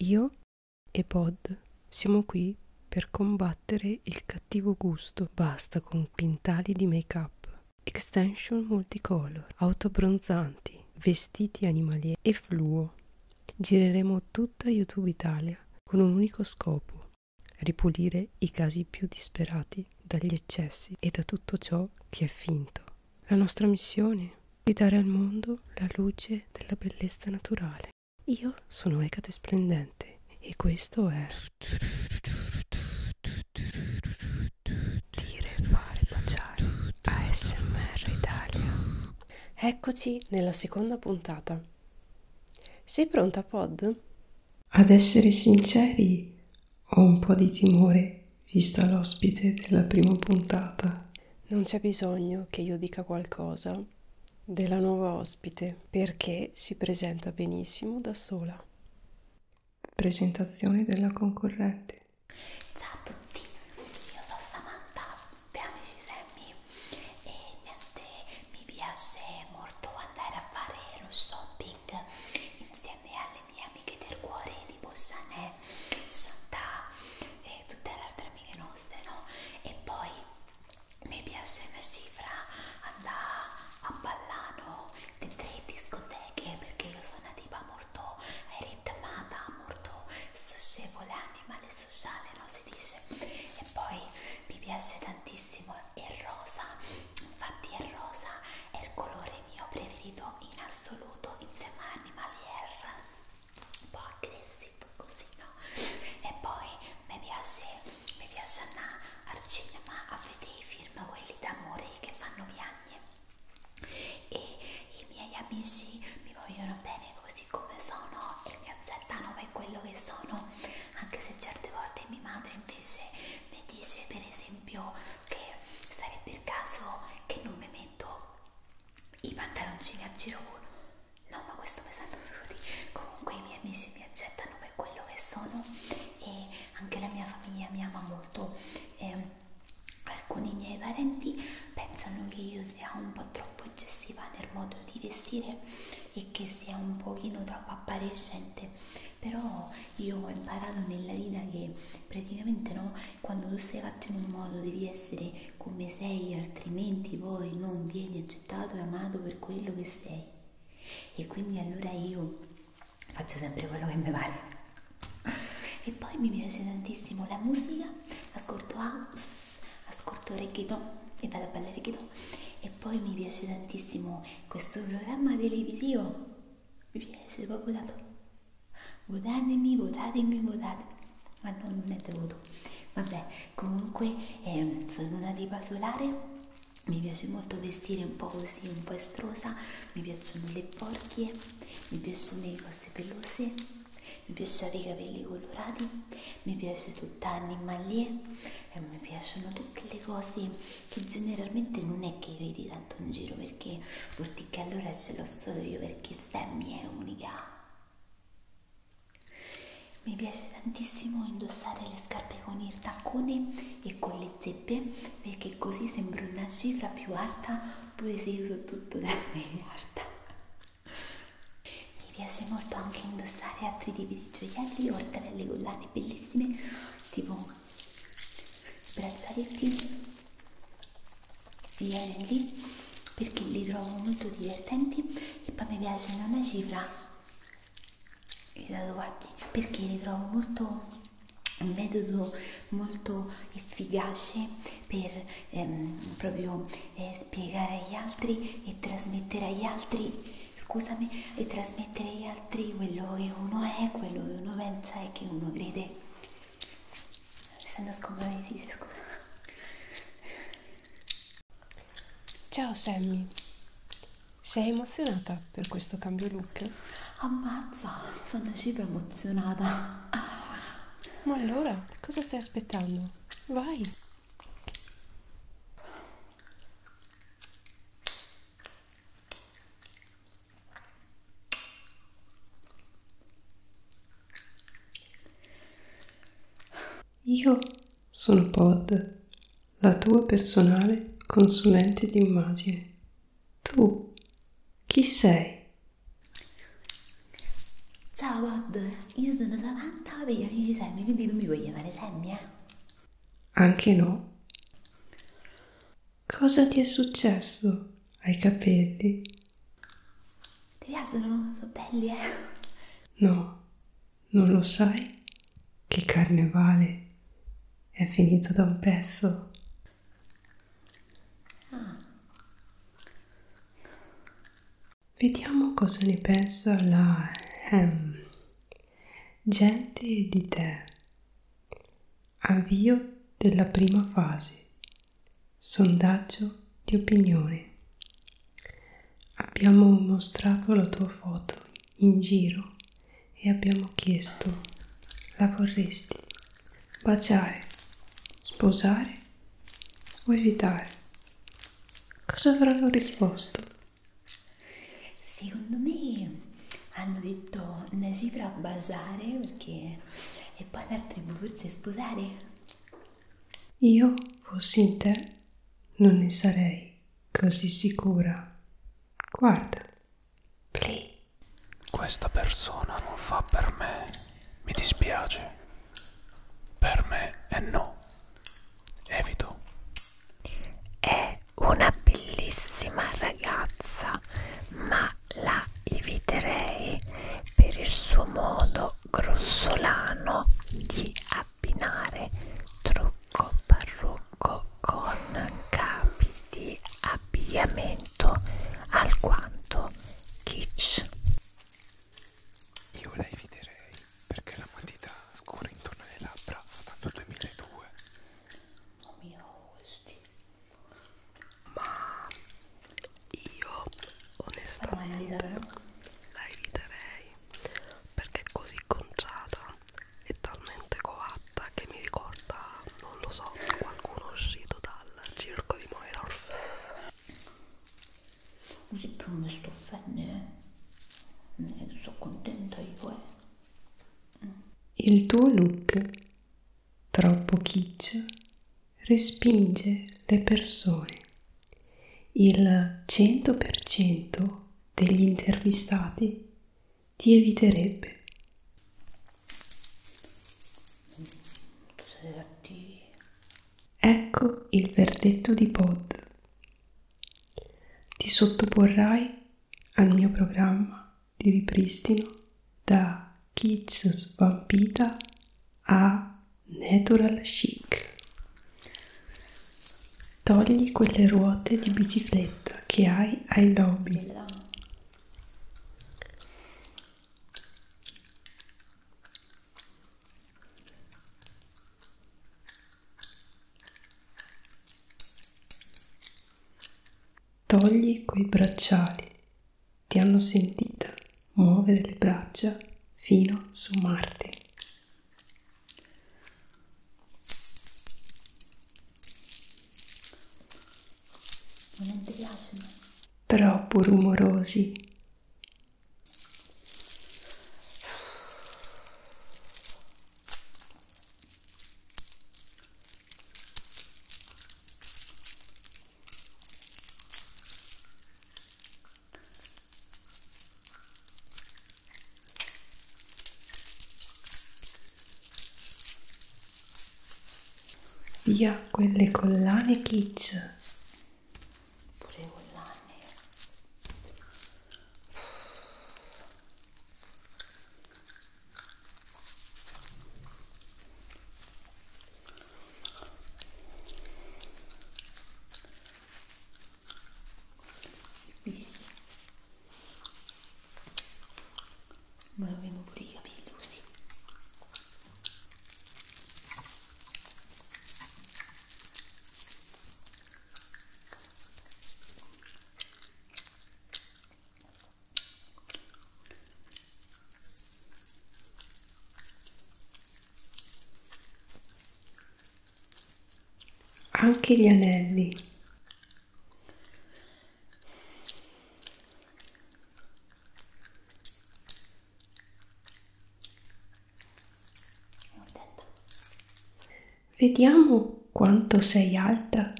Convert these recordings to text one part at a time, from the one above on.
Io e Pod siamo qui per combattere il cattivo gusto. Basta con quintali di make-up, extension multicolor, autobronzanti, vestiti animalieri e fluo. Gireremo tutta YouTube Italia con un unico scopo, ripulire i casi più disperati dagli eccessi e da tutto ciò che è finto. La nostra missione di dare al mondo la luce della bellezza naturale. Io sono Ecate Splendente e questo è... Dire, fare, baciare. ASMR Italia. Eccoci nella seconda puntata. Sei pronta, Pod? Ad essere sinceri, ho un po' di timore, vista l'ospite della prima puntata. Non c'è bisogno che io dica qualcosa della nuova ospite perché si presenta benissimo da sola. Presentazione della concorrente. Ciao a tutti, io sono Samantha per Amici Sammy e niente, mi piace molto andare a fare lo shopping insieme alle mie amiche del cuore tipo Chanel, Chantal e tutte le altre vitamine nostre, no? E poi mi piace una cifra andare a ballano dentro le discoteche perché io sono una tipa molto ritmata, molto socievole, animale sociale, no? Si dice. E poi mi piace tantissimo il rosa, infatti il rosa è il colore mio preferito in assoluto insieme a Animalier un po' aggressivo così no e poi mi piace, mi piace andare al cinema a vedere i film quelli d'amore che fanno piagne e i miei amici mi vogliono bene così come sono e mi accettano per quello che sono anche se certe volte mia madre invece mi dice per esempio che sarebbe il caso che non mi metto i pantaloncini a girone no ma questo pesante scusate comunque i miei amici mi accettano per quello che sono e anche la mia famiglia mi ama molto e mm, alcuni miei parenti pensano che io sia un po' troppo eccessiva nel modo di vestire e che sia un pochino troppo appariscente però io ho imparato nella vita che praticamente no quando tu sei fatto in un modo devi essere come sei, altrimenti poi non vieni accettato e amato per quello che sei. E quindi allora io faccio sempre quello che mi vale. E poi mi piace tantissimo la musica, ascolto house, ascolto reggaeton e vado a ballare reggaeton. E poi mi piace tantissimo questo programma televisivo. Mi piace proprio tanto. Votatemi, votatemi, votatemi ah no, non è dovuto vabbè comunque eh, sono una diva solare mi piace molto vestire un po' così un po' estrosa mi piacciono le porchie mi piacciono le cose pelose mi piacciono i capelli colorati mi piace tutta animalie e mi piacciono tutte le cose che generalmente non è che vedi tanto in giro perché vuol dire che allora ce l'ho solo io perché Sammy è unica mi piace tantissimo indossare le scarpe con il taccone e con le zeppe perché così sembra una cifra più alta pure se uso tutto da miliarda. Mi piace molto anche indossare altri tipi di gioielli oltre alle collane bellissime tipo braccialetti vieni lì perché li trovo molto divertenti e poi mi piacciono una cifra i tatuaggi perché li trovo molto un metodo molto efficace per ehm, proprio eh, spiegare agli altri e trasmettere agli altri scusami e trasmettere agli altri quello che uno è quello che uno pensa e che uno crede Alessandro Scomparesi, scusa Ciao Sammy, sei emozionata per questo cambio look? Ammazza, sono super emozionata. Ma allora, cosa stai aspettando? Vai! Io sono Pod, la tua personale consulente d'immagine. Tu chi sei? Ciao Pod, io sono Samantha per gli amici Sammy, quindi tu mi puoi chiamare Sammy, eh? Anche no. Cosa ti è successo ai capelli? Ti piacciono? Sono belli, eh? No, non lo sai che carnevale è finito da un pezzo. Ah. Vediamo cosa ne pensa la ehm, gente di te. Avvio della prima fase. Sondaggio di opinione. Abbiamo mostrato la tua foto in giro e abbiamo chiesto, la vorresti baciare, sposare o evitare? Cosa avranno risposto? Secondo me hanno detto Najibra baciare perché e poi l'altro forse sposare. Io fossi in te, non ne sarei così sicura. Guarda, play. Questa persona non fa per me, mi dispiace. Per me è no. Evito. È una bellissima ragazza, ma la eviterei per il suo modo grossolano di abbinare trucco parrucco con capi di abbigliamento alquanto kitsch. Io la eviterei perché la matita scura intorno alle labbra fa tanto 2002. Oh mio, questi. Ma io onestamente la eviterei perché è così conciata e talmente coatta che mi ricorda, non lo so, qualcuno uscito dal circo di Moira Orfeo. Così però mi sto offendendo, ne eh. eh, sono contenta io. Il tuo look troppo kitsch respinge le persone. Il 100% degli intervistati ti eviterebbe. Ecco il verdetto di Pod. Ti sottoporrai al mio programma di ripristino da Kids svampita a natural chic. Togli quelle ruote di bicicletta che hai ai lobby. Togli quei bracciali, ti hanno sentita muovere le braccia fino su Marte. Troppo rumorosi. Via quelle collane kitsch. Pure collane ma lo vengo pure i capelli così anche gli anelli Vediamo quanto sei alta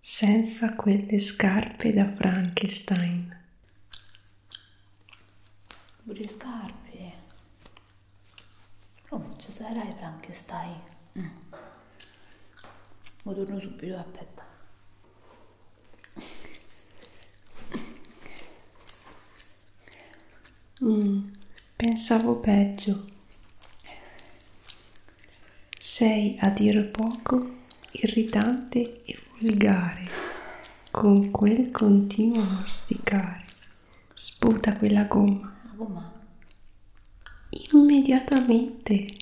senza quelle scarpe da Frankenstein pure scarpe oh ci sarai Frankenstein mm. ma torno subito aspetta mm, pensavo peggio sei a dir poco irritante e volgare con quel continuo masticare sputa quella gomma. La gomma. Immediatamente.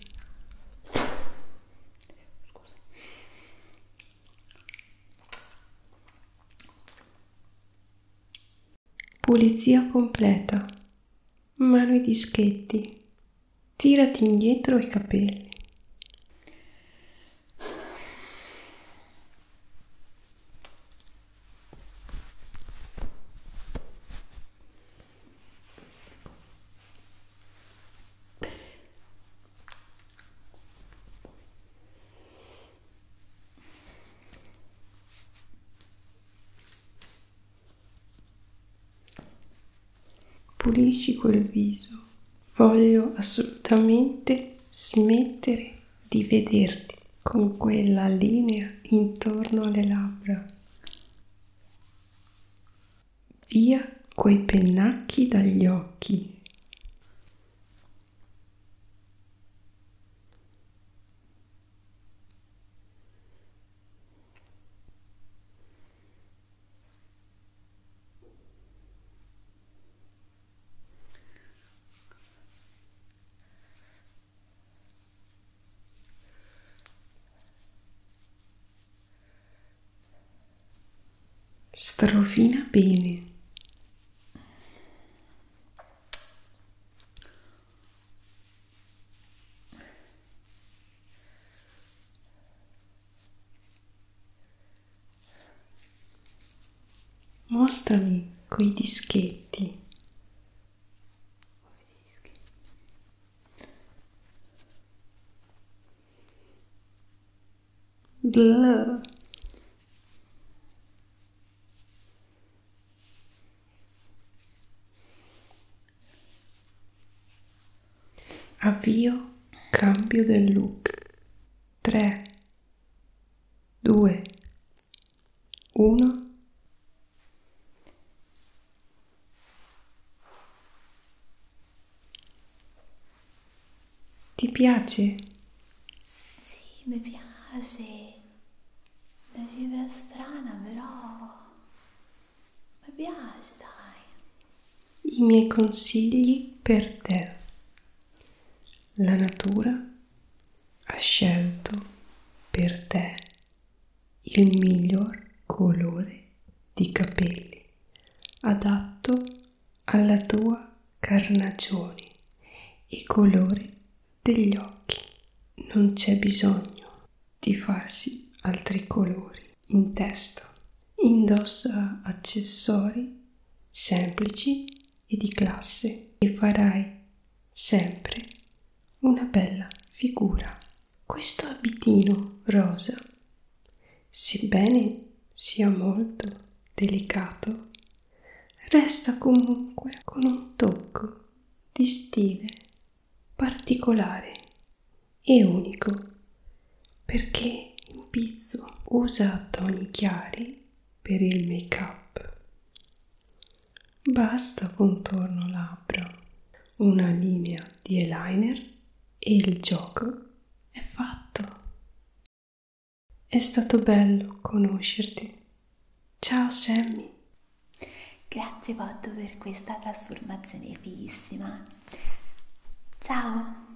Scusa. Pulizia completa. Mano i dischetti. Tirati indietro i capelli. Pulisci quel viso voglio assolutamente smettere di vederti con quella linea intorno alle labbra. Via coi pennacchi dagli occhi. Strofina bene. Mostrami quei dischetti. Blah. Avvio, cambio del look. 3, 2, 1. Ti piace? Sì, mi piace. La cifra strana, però mi piace, dai. I miei consigli per te. La natura ha scelto per te il miglior colore di capelli adatto alla tua carnagione e colore degli occhi. Non c'è bisogno di farsi altri colori in testa. Indossa accessori semplici e di classe e farai sempre una bella figura. Questo abitino rosa, sebbene sia molto delicato, resta comunque con un tocco di stile particolare e unico perché in pizzo usa toni chiari per il make up. Basta contorno labbra, una linea di eyeliner e il gioco è fatto. È stato bello conoscerti. Ciao Sammy. Grazie Botto per questa trasformazione fighissima. Ciao.